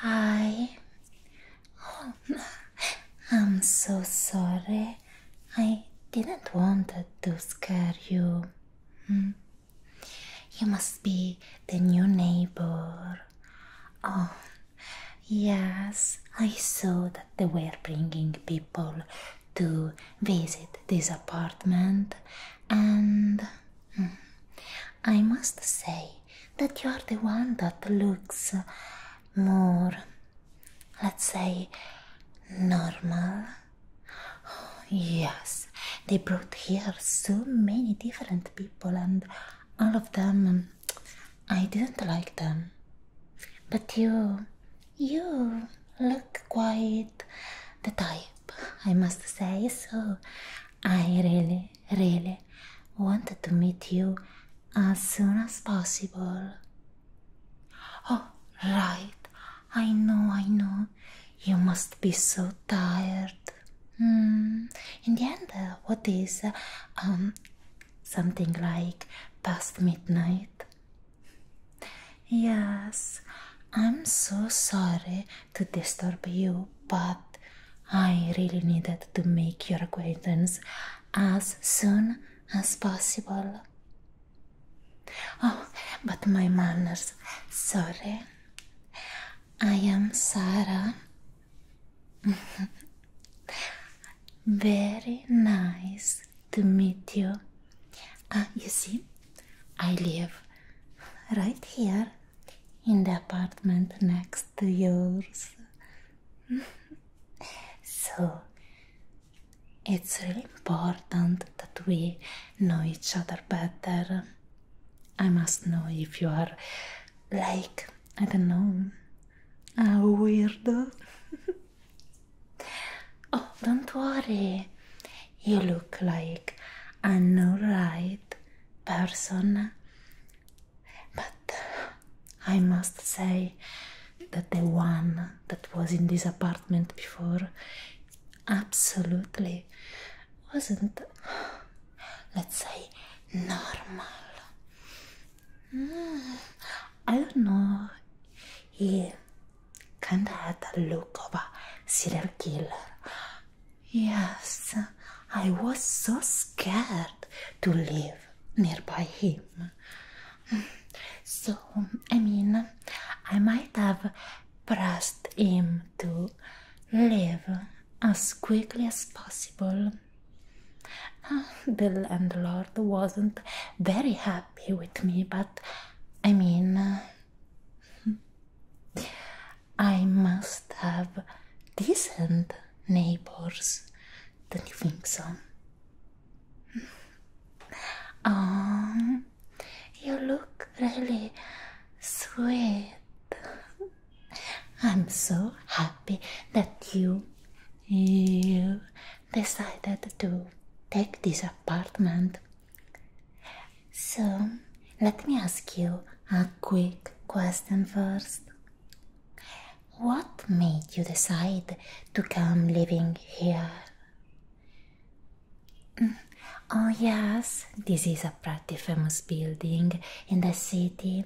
Hi. Oh, I'm so sorry. I didn't want to scare you. Hmm. You must be the new neighbor. Oh, yes, I saw that they were bringing people to visit this apartment, and hmm, I must say that you are the one that looks more, let's say, normal. Yes, they brought here so many different people, and all of them, I didn't like them. But you, you look quite the type, I must say. So I really, really wanted to meet you as soon as possible. Oh, right. I know, I know. You must be so tired. Hmm. In the end, uh, what is uh, um something like past midnight? Yes, I'm so sorry to disturb you, but I really needed to make your acquaintance as soon as possible. Oh, but my manners, sorry. I am Sarah. Very nice to meet you. Uh, you see, I live right here in the apartment next to yours. so it's really important that we know each other better. I must know if you are like, I don't know, a weirdo. Oh, don't worry. You look like an alright person. But I must say that the one that was in this apartment before absolutely wasn't, let's say, normal. Hmm, I don't know he kinda had the look of a serial killer. Yes, I was so scared to live nearby him. So, I mean, I might have pressed him to live as quickly as possible. The landlord wasn't very happy with me, but I mean, I must have decent neighbors, don't you think so? Oh, you look really sweet. I'm so happy that you, you decided to take this apartment so, let me ask you a quick question first. What made you decide to come living here? Mm, oh, yes, this is a pretty famous building in the city.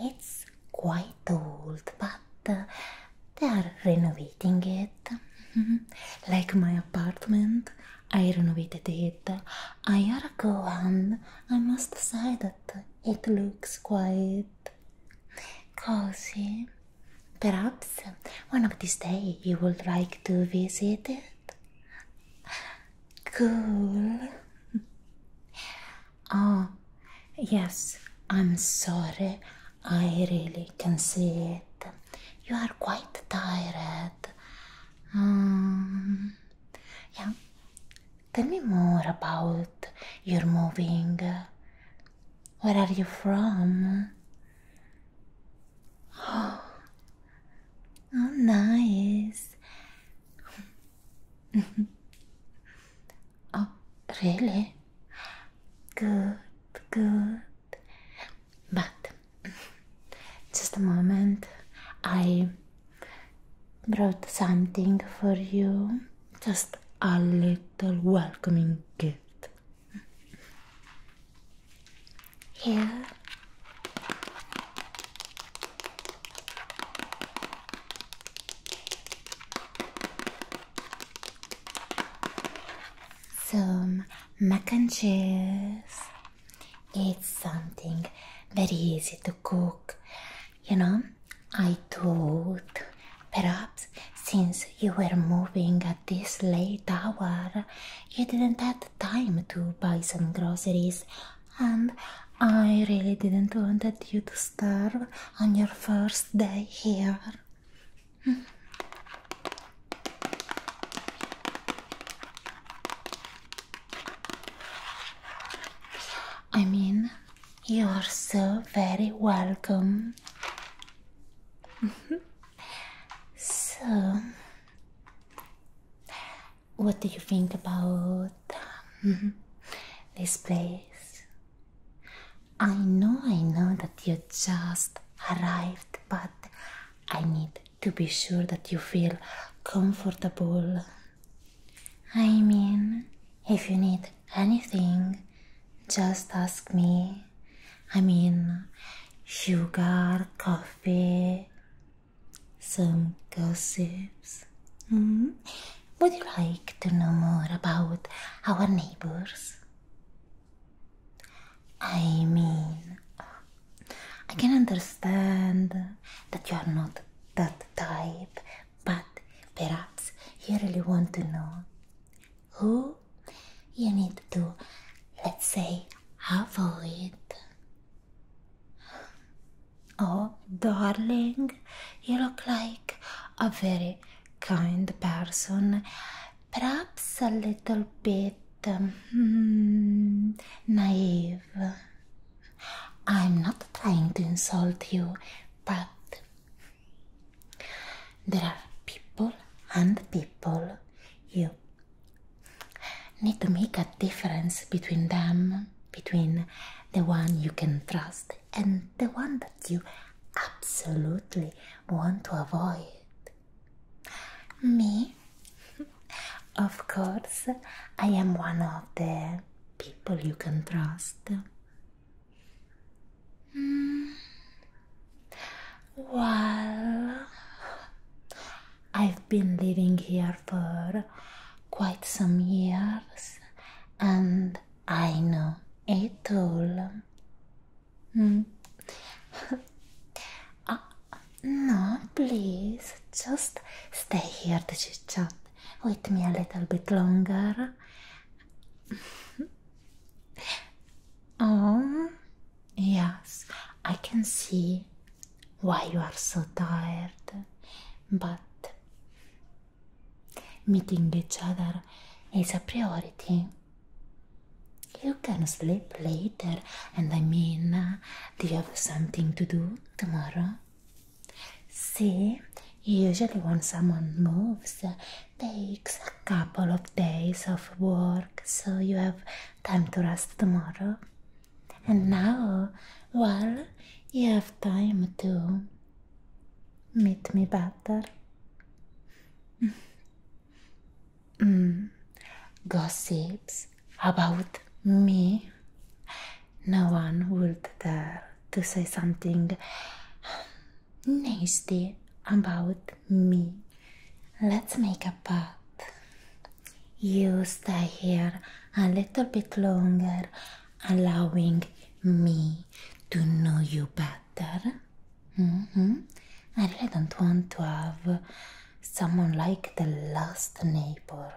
It's quite old, but uh, they are renovating it, like my apartment. I don't know what ago, and I I must say that it looks quite cozy. Perhaps one of these days you would like to visit it. Cool. oh, yes, I'm sorry. I really can see it you are quite tired. Um, yeah, tell me more about your moving. Where are you from? Oh, oh nice. oh, really? Good, good. But just a moment, I brought something for you. Just a little welcoming gift. Here some mac and cheese. It's something very easy to cook. You know, I thought perhaps since you were moving at this late hour, you didn't have time to buy some groceries, and I really didn't want you to starve on your first day here. I mean, you are so very welcome. so, what do you think about um, this place? I know, I know that you just arrived, but I need to be sure that you feel comfortable. I mean, if you need anything, just ask me. I mean, sugar, coffee, some gossips. Mm Would you like to know more about our neighbors? I mean, I can understand that you are not that type, but perhaps you really want to know who you need to, let's say, avoid. Oh, darling, you look like a very kind person. perhaps a little bit um, naive. I'm not trying to insult you, but there are people and people. You need to make a difference between them, between the one you can trust and the one that you absolutely want to avoid. Me? Of course, I am one of the people you can trust. Mm. Well, I've been living here for quite some years and I know it all. Hmm. Ah, no, please, just stay here to chit chat with me a little bit longer. oh, yes, I can see why you are so tired, but meeting each other is a priority. You can sleep later, and I mean, uh, do you have something to do tomorrow? See, usually when someone moves, uh, takes a couple of days of work, so you have time to rest tomorrow. And now, well, you have time to meet me better. mm, gossips about me. No one would dare to say something nasty about me. Let's make a pact. You stay here a little bit longer, allowing me to know you better. Mm-hmm. I really don't want to have. someone like the last neighbor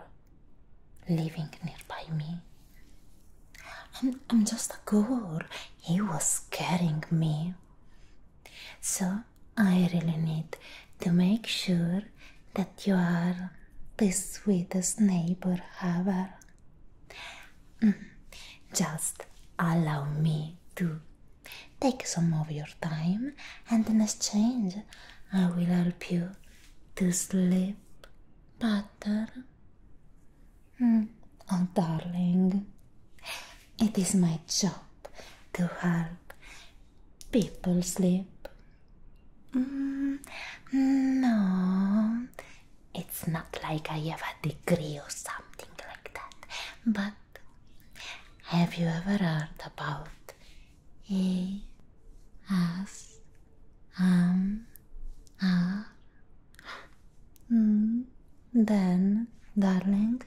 living nearby me. I'm, I'm just a girl, he was scaring me. So I really need to make sure that you are the sweetest neighbor ever. Mm, just allow me to Take some of your time, and in exchange, I will help you to sleep better. Hmm. Oh, darling, it is my job to help people sleep. Hmm. No, it's not like I have a degree or something like that, but have you ever heard about A S M R? Mm, then, darling,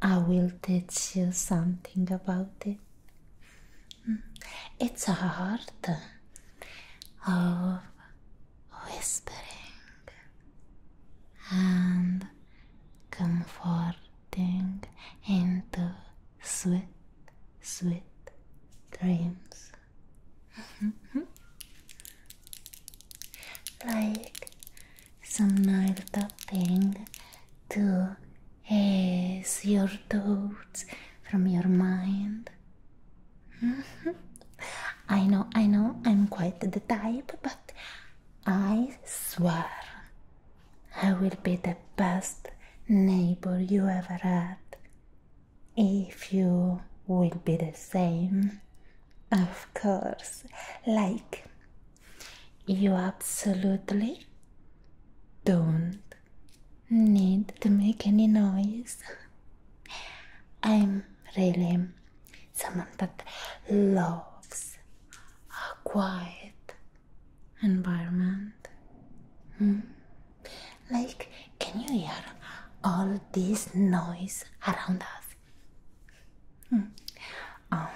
I will teach you something about it. Mm, it's a art of whispering and comfort into sweet, sweet dreams. like some nail tapping to ease your doubts from your mind. I know, I know, I'm quite the type, but I swear I will be the best neighbor you ever had. If you will be the same, of course, like you absolutely don't need to make any noise. I'm really someone that loves a quiet environment. Hmm? Like, can you hear all this noise around us? Hmm. Um,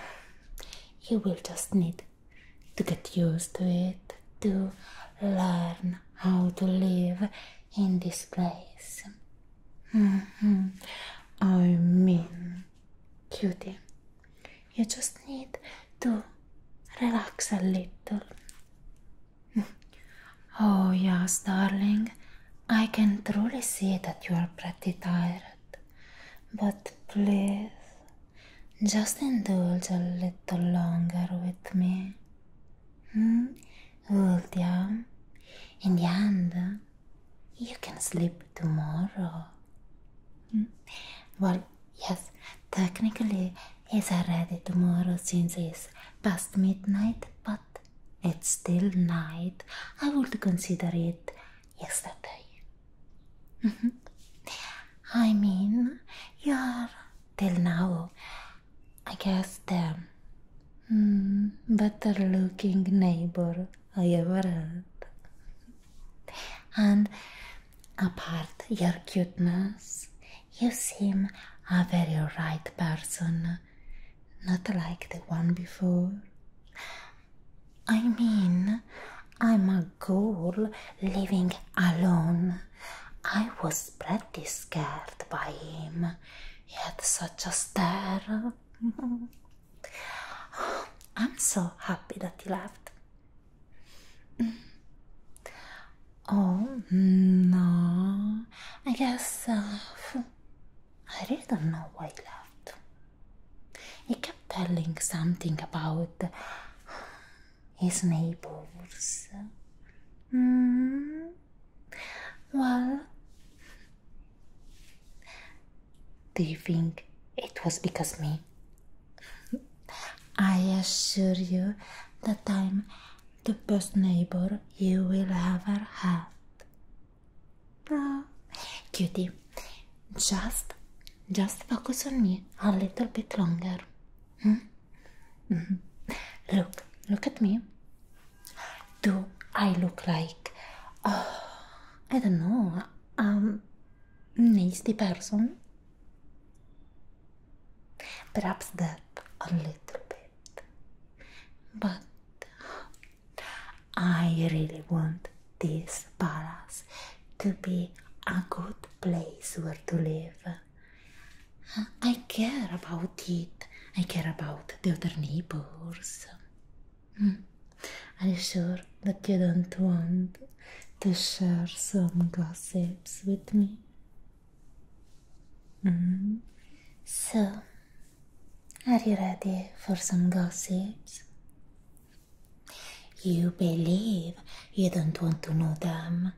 you will just need to get used to it, to learn how to live in this place. Hmm, I mean, cutie. You just need to relax a little. oh, yes, darling. I can truly see that you are pretty tired. But please, just indulge a little longer with me. Hmm? Ultia, in the end, You can sleep tomorrow. Hmm? Well, yes, technically it's already tomorrow since it's past midnight, but it's still night. I would consider it yesterday. Mm-hmm. I mean, you're till now, I guess, the mm, better looking neighbor I heard. And apart your cuteness, you seem a very right person, not like the one before. I mean, I'm a girl living alone. I was pretty scared by him. He had such a stare. I'm so happy that he left. Mm. Oh, no. I guess uh, I really don't know why he left. He kept telling something about his neighbors. Mm. Well, do you think it was because me? I assure you that I'm the best neighbor you will ever have. No, cutie, just, just focus on me a little bit longer. Hmm? Mm-hmm. Look, look at me. Do I look like, oh, I don't know, Um, needs the person. Perhaps that a little bit. But I really want this palace to be a good place where to live. I care about it. I care about the other neighbors. Mm. Hmm. Alexor, da quer Antoine deixar some gossips with me? Mm-hmm. So, are you ready for some gossips? You believe you don't want to know them,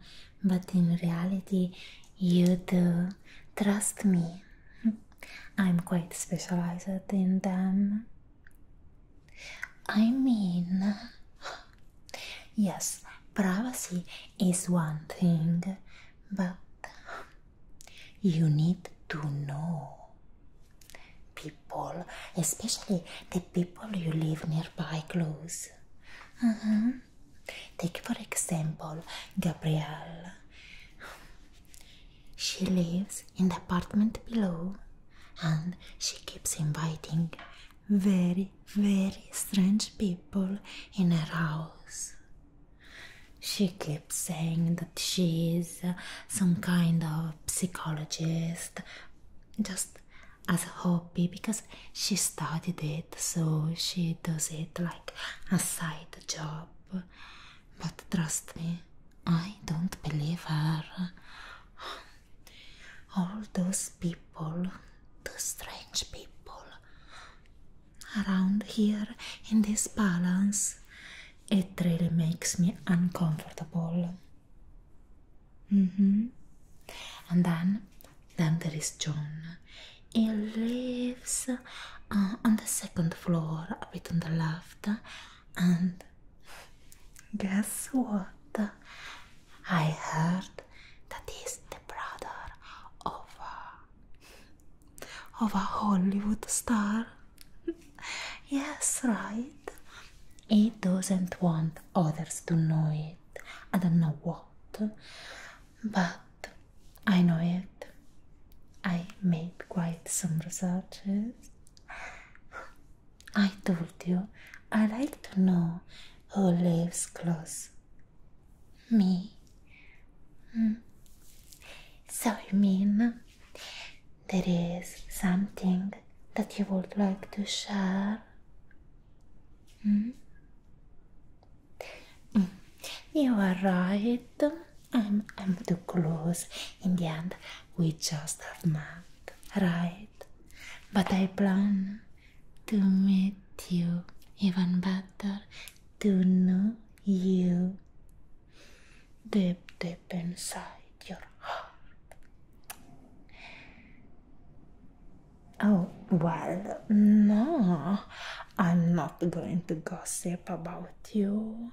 but in reality, you do. Trust me, hmm. I'm quite specialized in them. Mm-hmm. I mean, yes, privacy is one thing, but you need to know people, especially the people you live nearby close. Uh -huh. Take for example, Gabrielle. She lives in the apartment below and she keeps inviting very, very strange people in her house. She keeps saying that she is uh, some kind of psychologist just as a hobby because she studied it, so she does it like a side job. But trust me, I don't believe her. All those people, those strange people around here in this balance, it really makes me uncomfortable. Mm -hmm. And then, then there is John. He lives uh, on the second floor, a bit on the left, and guess what? I heard that he's the brother of a, of a Hollywood star. yes, right. He doesn't want others to know it. I don't know what, but I know it. I made quite some researches I told you I like to know who lives close. Me. Hmm. So you mean there is something that you would like to share? Hmm? Hmm. You are right. I'm, too close. In the end, we just have met, right? But I plan to meet you even better, to know you deep, deep inside your heart. Oh, well, no, I'm not going to gossip about you.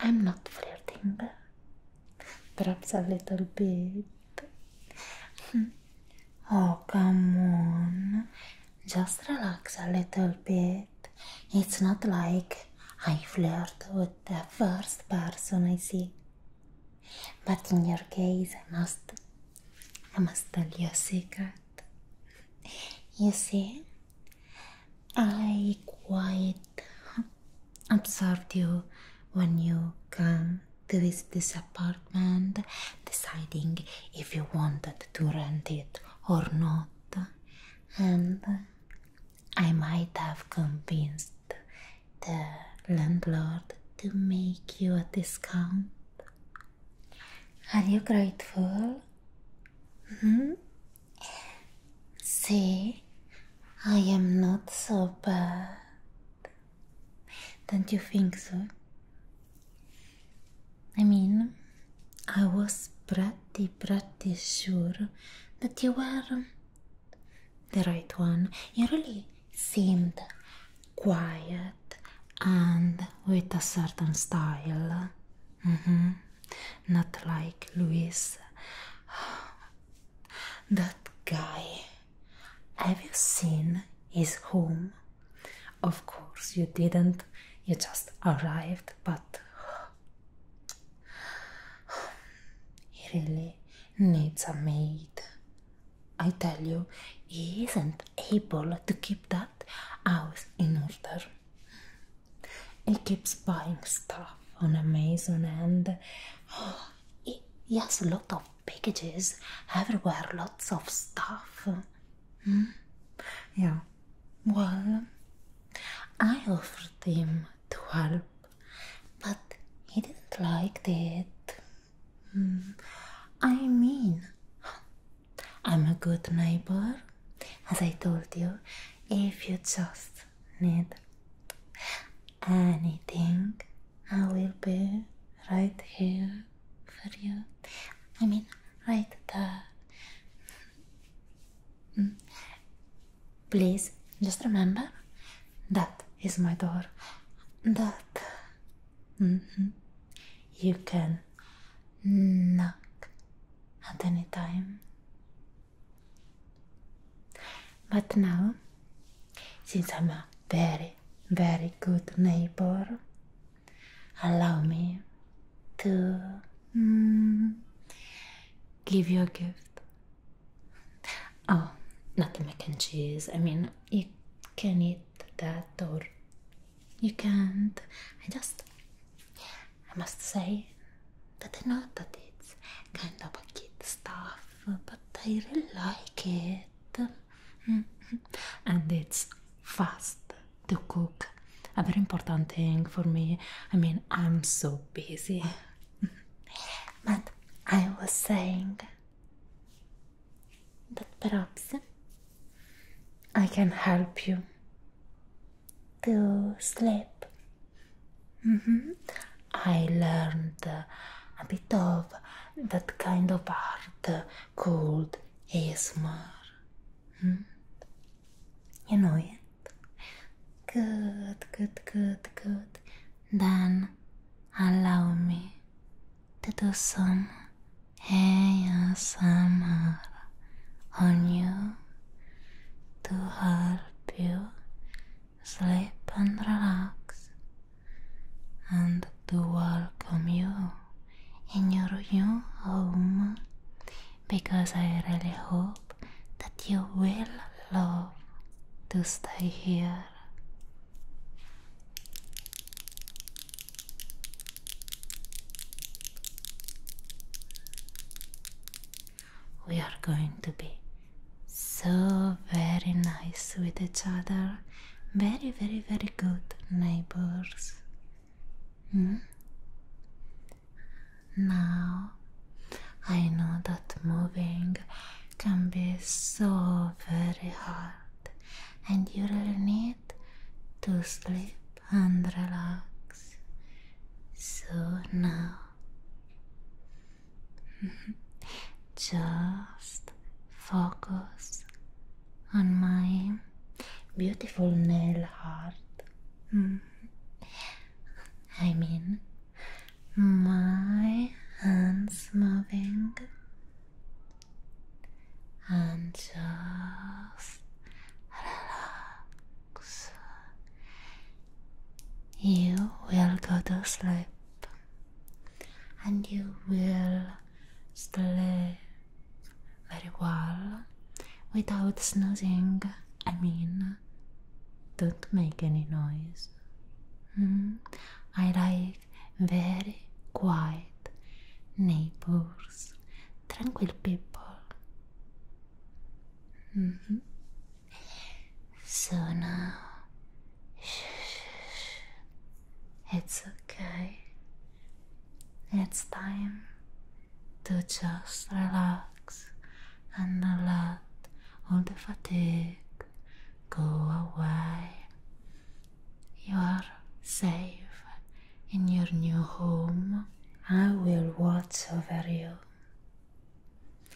I'm not flirting, perhaps a little bit. oh, come on, just relax a little bit. It's not like I flirt with the first person I see. But in your case, I must, I must tell you a secret. You see, I quite observed you when you come to this, this apartment, deciding if you wanted to rent it or not, and I might have convinced the landlord to make you a discount. Are you grateful? Hmm? See, I am not so bad. Don't you think so? I mean, I was pretty, pretty sure that you were the right one. You really seemed quiet and with a certain style. Mm-hmm. Not like Louise. That guy. Have you seen his home? Of course you didn't. You just arrived, but he really needs a maid. I tell you, he isn't able to keep that house in order. He keeps buying stuff. stuff on Amazon and oh, it, yes, a lot of packages everywhere, lots of stuff. Hmm? Yeah, well, I offered him to help, but he didn't like it. Hmm. I mean, I'm a good neighbor, as I told you, if you just need Anything, I will be right here for you. I mean, right there. Mm. Please just remember that is my door. That mm-hmm. you can knock at any time. But now, since I'm a very, very good neighbor, allow me to mm, give you a gift. Oh, not the mac and cheese. I mean, you can eat that or you can't. I just, I must say, that I know that it's kind of a kid stuff, but I really like it. and it's fast to cook. A very important thing for me. I mean, I'm so busy. but I was saying that perhaps I can help you to sleep Mm-hmm. I learned a bit of that kind of art called ASMR. Mm-hmm. You know it. Good, good, good, good. Then allow me to do some ASMR on you to help you sleep and relax, and to welcome you in your new home because I really hope that you will love to stay here we are going to be so very nice with each other, very, very, very good neighbors. Hmm? Now I know that moving can be so very hard, and you really need to sleep and relax. So now Just focus on my beautiful nail heart. Mm-hmm. I mean, my hands moving and just relax you will go to sleep and you will sleep very well without snoozing. I mean, don't make any noise. Hmm? I like very quiet neighbors, tranquil people. Hmm? So now, it's okay. It's time to just relax and let all the fatigue go away. You are safe in your new home. I will watch over you.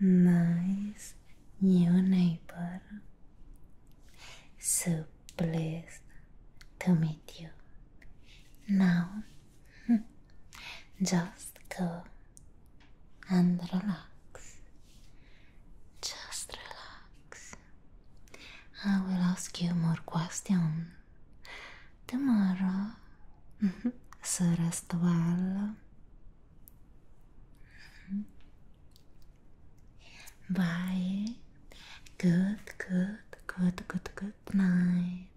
nice new neighbor. So pleased to meet you. Now, just go and relax. Just relax. I will ask you more questions tomorrow. so rest well Bye. Good, good, good, good, good night.